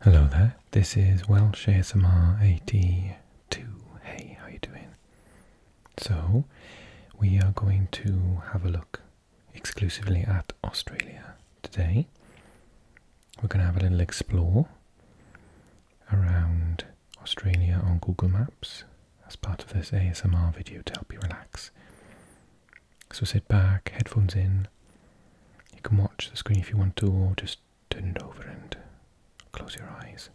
Hello there, this is Welsh ASMR 82. Hey, how are you doing? So, we are going to have a look exclusively at Australia today. We're going to have a little explore around Australia on Google Maps as part of this ASMR video to help you relax. So sit back, headphones in. You can watch the screen if you want to, or just turn it over and close your eyes.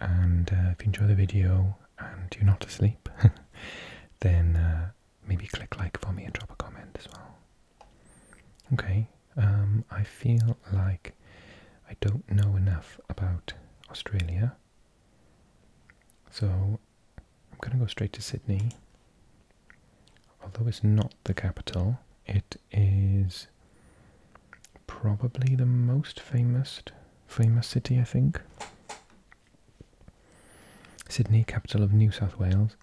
And uh, if you enjoy the video and you're not asleep, then uh, maybe click like for me and drop a comment as well. Okay, um, I feel like I don't know enough about Australia. So I'm going to go straight to Sydney. Although it's not the capital, it is probably the most famous famous city, I think. Sydney, capital of New South Wales.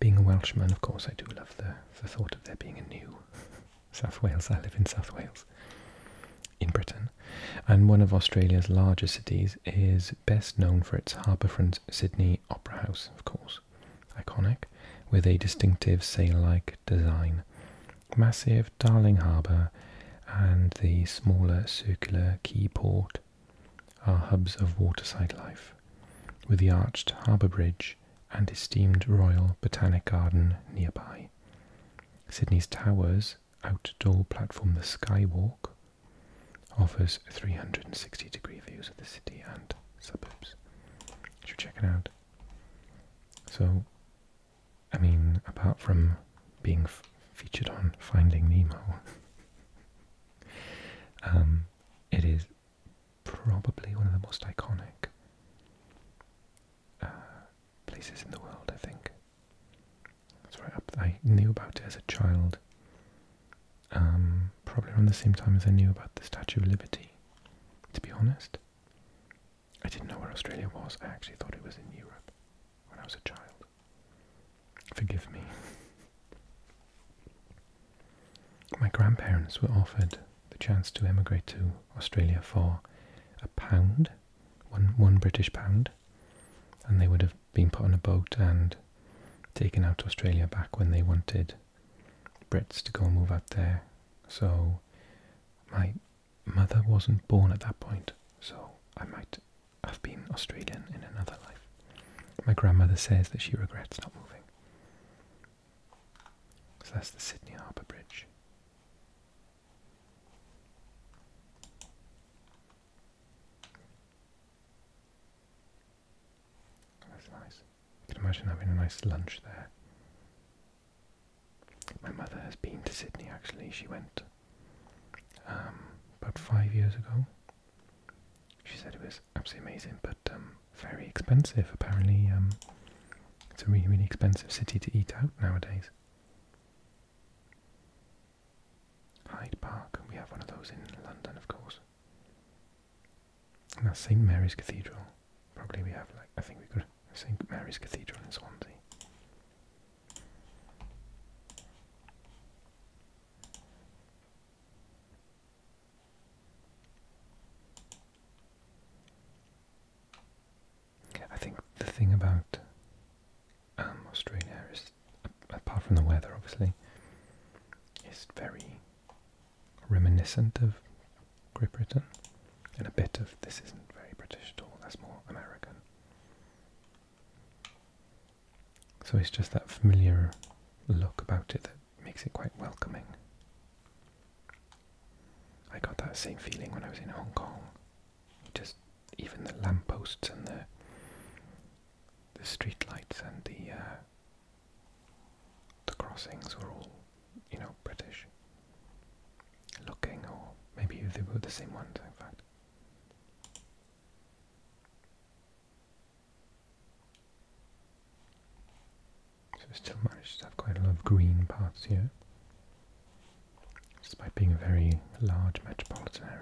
Being a Welshman, of course, I do love the, the thought of there being a new South Wales. I live in South Wales, in Britain. And one of Australia's larger cities is best known for its harbourfront Sydney Opera House, of course, iconic, with a distinctive sail-like design. Massive Darling Harbour and the smaller circular Key Port are hubs of waterside life, with the arched harbour bridge and esteemed Royal Botanic Garden nearby. Sydney's towers, outdoor platform the Skywalk, offers 360 degree views of the city and suburbs. You should check it out. So, I mean, apart from being featured on Finding Nemo, um, it is probably one of the most iconic uh, places in the world, I think. I knew about it as a child. Um, probably around the same time as I knew about the Statue of Liberty. To be honest, I didn't know where Australia was. I actually thought it was in Europe when I was a child. Forgive me. My grandparents were offered the chance to emigrate to Australia for a pound, one British pound, and they would have being put on a boat and taken out to Australia back when they wanted Brits to go and move out there. So my mother wasn't born at that point, so I might have been Australian in another life. My grandmother says that she regrets not moving. So that's the Sydney Harbour Bridge. That's nice. I can imagine having a nice lunch there. My mother has been to Sydney actually. She went um, about five years ago. She said it was absolutely amazing, but um, very expensive. Apparently, um, it's a really, really expensive city to eat out nowadays. Hyde Park, we have one of those in London, of course. And St. Mary's Cathedral. Probably we have like, I think we could St. Mary's Cathedral in Swansea. I think the thing about um, Australia is apart from the weather, obviously, it's very reminiscent of Great Britain, and a bit of this isn't very British at all. That's more American. So it's just that familiar look about it that makes it quite welcoming. I got that same feeling when I was in Hong Kong. Just even the lampposts and the the street lights and the uh, the crossings were all, you know, British looking, or maybe they were the same ones, in fact. So still managed to have quite a lot of green parts here, despite being a very large metropolitan area.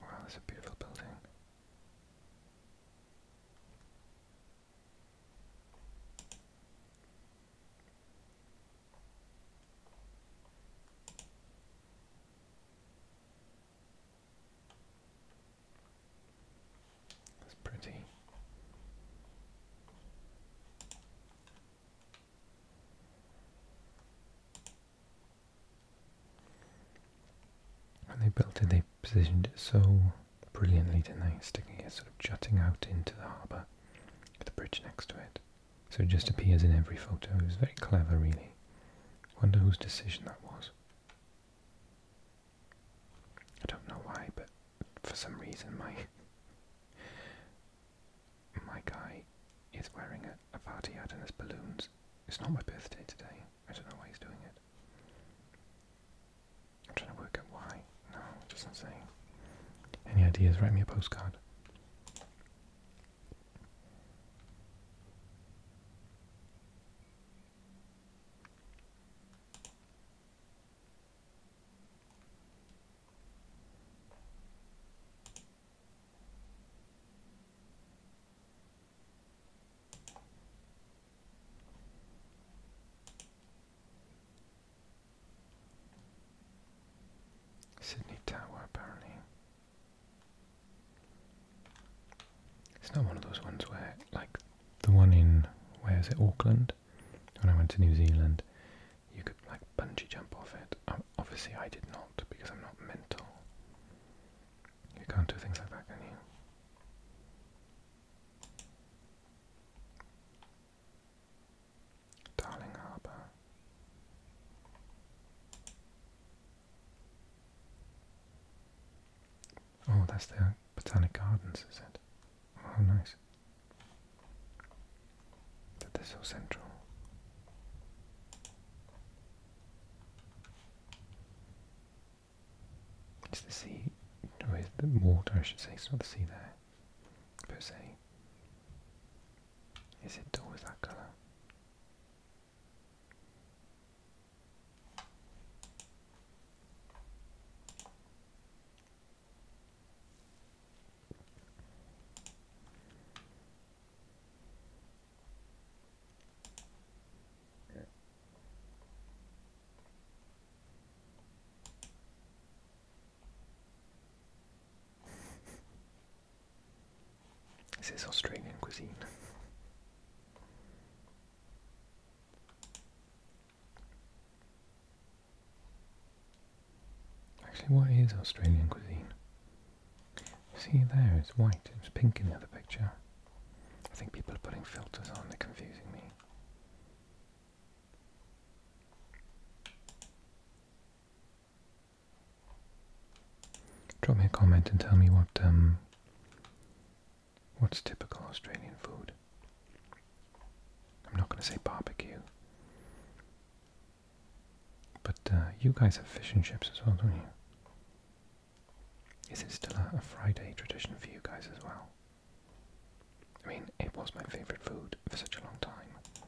Wow, that's a beautiful building. That's pretty. And they built it, they positioned it so brilliantly, didn't they? Sticking it sort of jutting out into the harbour, with a bridge next to it. So it just appears in every photo. It was very clever, really. Wonder whose decision that was. I don't know why, but for some reason my my guy is wearing a, party hat and has balloons. It's not my birthday today. I don't know why he's doing it. I'm trying to work out why. No, it does Any ideas? Write me a postcard. Sydney Tower, apparently. It's not one of those ones where, like the one in, where is it, Auckland? When I went to New Zealand, you could like bungee jump off it. Um, obviously, I did not because I'm not mental. You can't do things like that, can you? Darling Harbour. Oh, that's there. Botanic Gardens, is it? Oh, nice. That they're so central. It's the sea, or is the water, I should say. It's not the sea there, per se. Is it always that colour? This is Australian cuisine. Actually, what is Australian cuisine? See there, it's white, It was pink in the other picture. I think people are putting filters on, they're confusing me. Drop me a comment and tell me what um, What's typical Australian food? I'm not going to say barbecue. But uh, you guys have fish and chips as well, don't you? Is it still a Friday tradition for you guys as well? I mean, it was my favourite food for such a long time.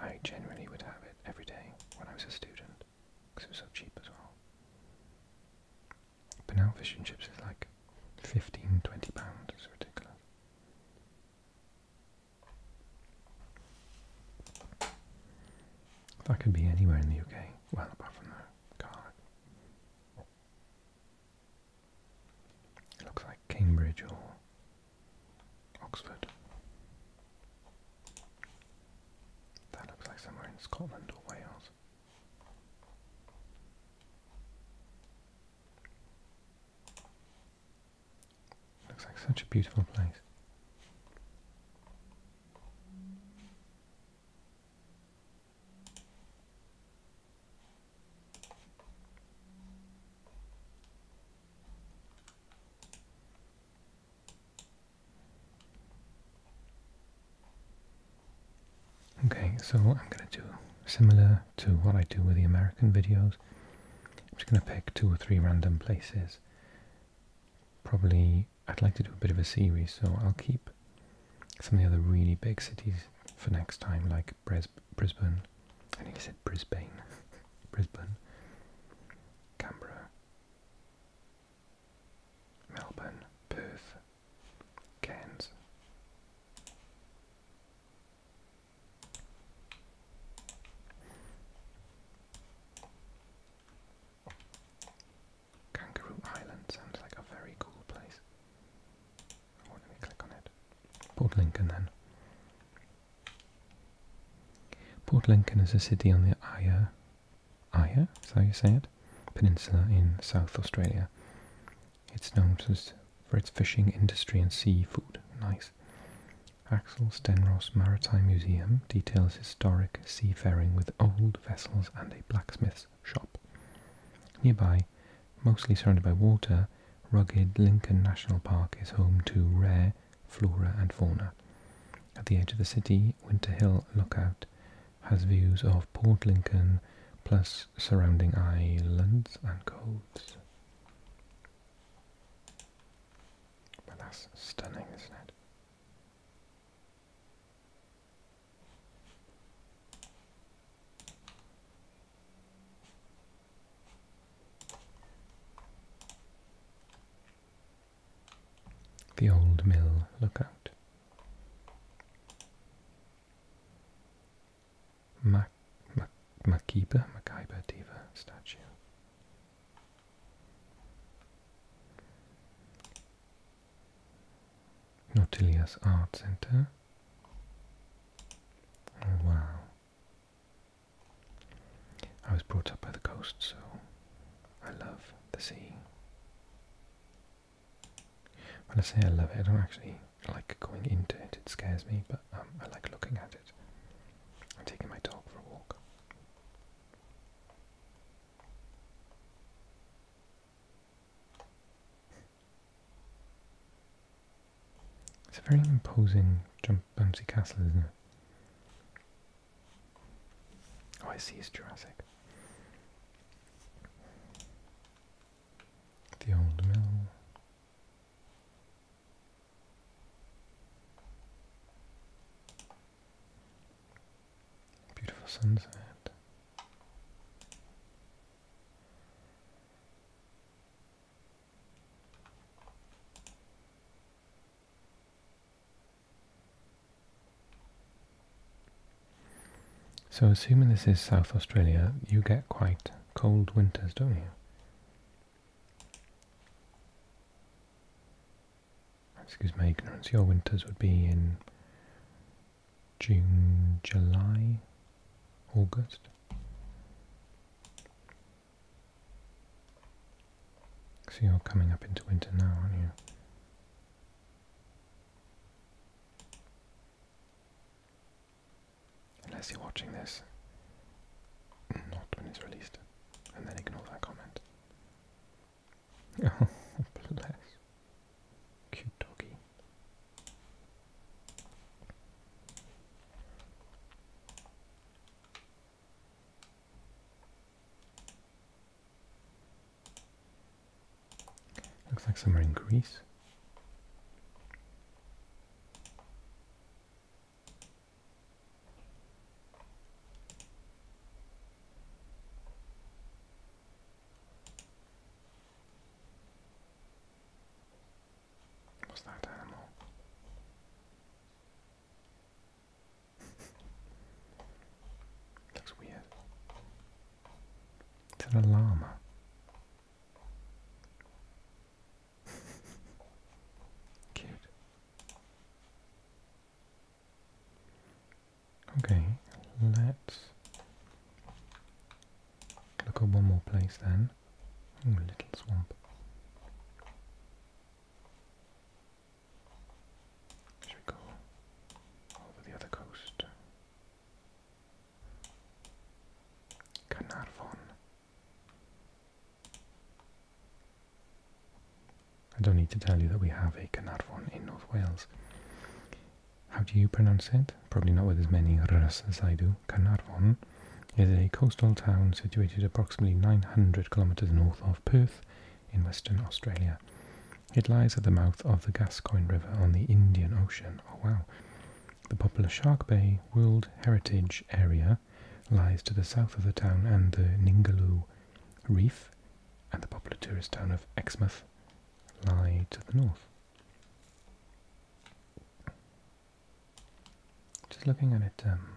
I generally would have it every day when I was a student, because it was so cheap as well. But now fish and chips is like 15, 20 pounds, ridiculous. If I could be anywhere in the UK, well, apart from the Cardiff. It looks like Cambridge or Oxford. That looks like somewhere in Scotland or Wales. Looks like such a beautiful place. Okay, so I'm going to do similar to what I do with the American videos. I'm just going to pick two or three random places. Probably, I'd like to do a bit of a series, so I'll keep some of the other really big cities for next time, like Brisbane. I think I said Brisbane. Brisbane. Canberra. Melbourne. Perth cans. Kangaroo Island sounds like a very cool place. Oh, let me click on it. Port Lincoln then. Port Lincoln is a city on the Eyre, Eyre, so you say it, peninsula in South Australia. It's known for its fishing industry and seafood. Nice. Axel Stenros Maritime Museum details historic seafaring with old vessels and a blacksmith's shop. Nearby, mostly surrounded by water, rugged Lincoln National Park is home to rare flora and fauna. At the edge of the city, Winter Hill Lookout has views of Port Lincoln plus surrounding islands and coves. Well, that's stunning, isn't it? The old mill lookout. Mac Mac Makiba Makaiba Diva statue. Nautilius Art Center. Oh wow. I was brought up by the coast, so I love the sea. But I say I love it, I don't actually like going into it, it scares me, but um, I like looking at it. I'm taking my dog for a walk. It's a very imposing jump bouncy castle, isn't it? Oh, I see, it's Jurassic. The old mill. Beautiful sunset. So assuming this is South Australia, you get quite cold winters, don't you? Excuse my ignorance, your winters would be in June, July, August. So you're coming up into winter now, aren't you? Unless you're watching this, not when it's released, and then ignore that comment. bless. Cute doggy. Looks like somewhere in Greece. What's that animal? Looks weird. Is it a Okay, let's look at one more place then. little swamp. Should we go over the other coast? Carnarvon. I don't need to tell you that we have a Carnarvon in North Wales. How do you pronounce it? Probably not with as many r's as I do. Carnarvon is a coastal town situated approximately 900 kilometres north of Perth in Western Australia. It lies at the mouth of the Gascoyne River on the Indian Ocean. Oh wow. The popular Shark Bay World Heritage Area lies to the south of the town and the Ningaloo Reef, and the popular tourist town of Exmouth lie to the north. Just looking at it, um,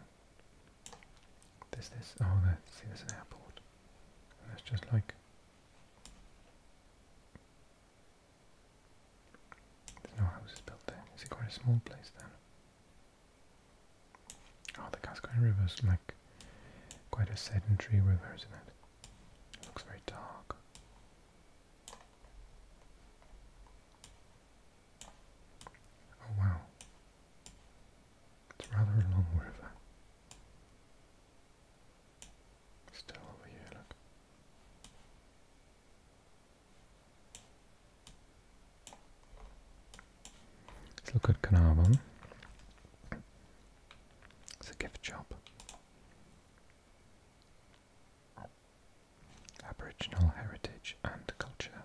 there's this, oh, see there's an airport. that's just like there's no houses built there. Is it quite a small place then? Oh, the Cascade River's like quite a sedentary river, isn't it? It looks very dark. Oh wow. It's rather a long river. Still over here, look. Let's look at Carnarvon. It's a gift shop. Aboriginal heritage and culture.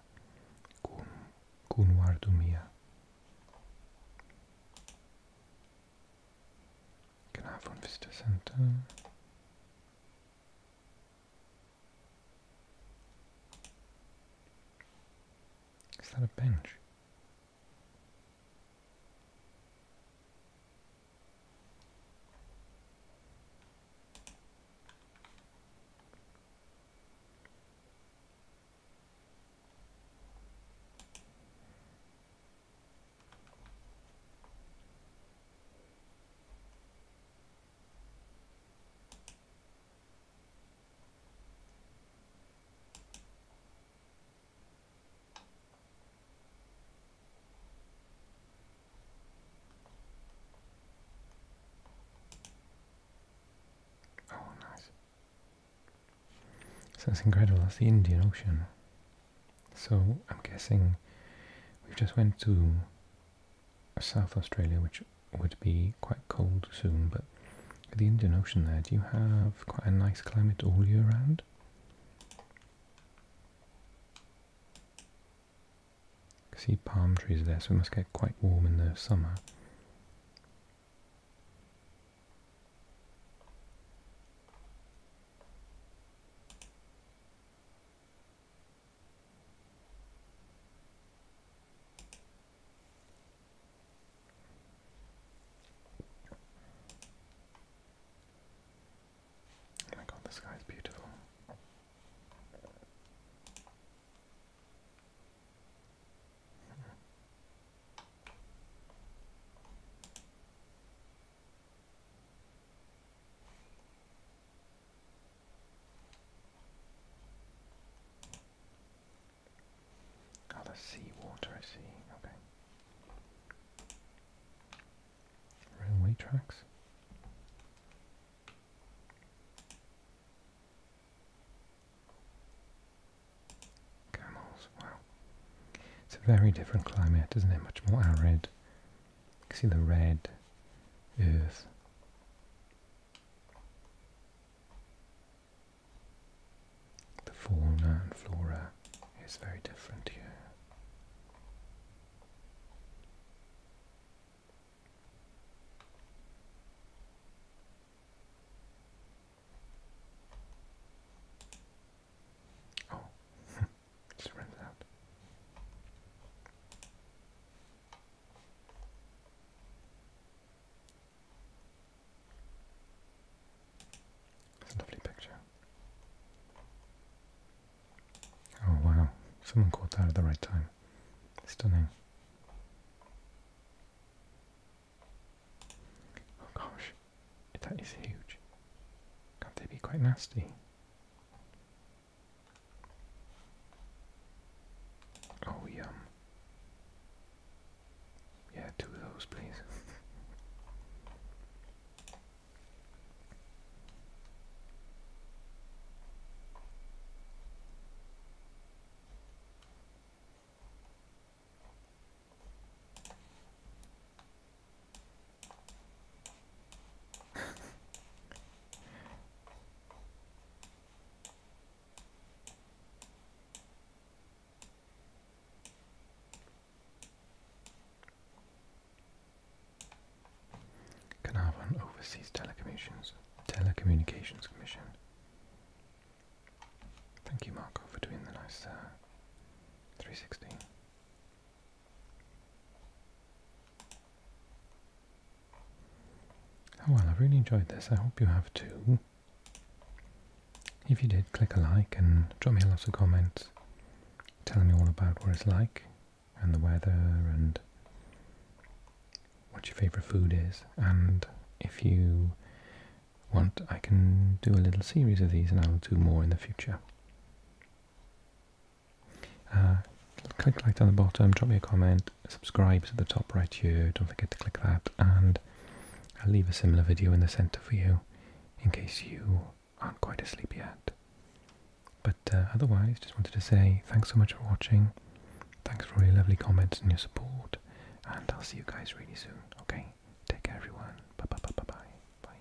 Kunwardumia. Carnarvon Visitor Centre. Is that a bench? Oh, nice. that's incredible. That's the Indian Ocean. So I'm guessing we've just went to South Australia, which would be quite cold soon, but the Indian Ocean there, do you have quite a nice climate all year round? see palm trees there, so it must get quite warm in the summer. Oh my god, the sky is beautiful. Oh, seawater, I see. Okay. Railway tracks. Camels, wow. It's a very different climate, isn't it? Much more arid. You can see the red earth. The fauna and flora is very different here. Oh, Just a lovely picture. Oh wow, someone caught that at the right time. Stunning. Oh gosh, that is huge. Can't they be quite nasty? Oh, yum. Yeah, two of those, please. Carnarvon oversees telecommunications, commission. Thank you, Marco, for doing the nice uh, 360. Oh well, I have really enjoyed this. I hope you have too. If you did, click a like and drop me a lot of comments telling me all about what it's like and the weather and what your favourite food is. And if you want, I can do a little series of these and I'll do more in the future. Uh, click like down the bottom, drop me a comment, subscribe to the top right here, don't forget to click that, and I'll leave a similar video in the centre for you in case you aren't quite asleep yet. But uh, otherwise, just wanted to say thanks so much for watching, thanks for all your lovely comments and your support, and I'll see you guys really soon, okay? Take care everyone, bye bye bye bye bye.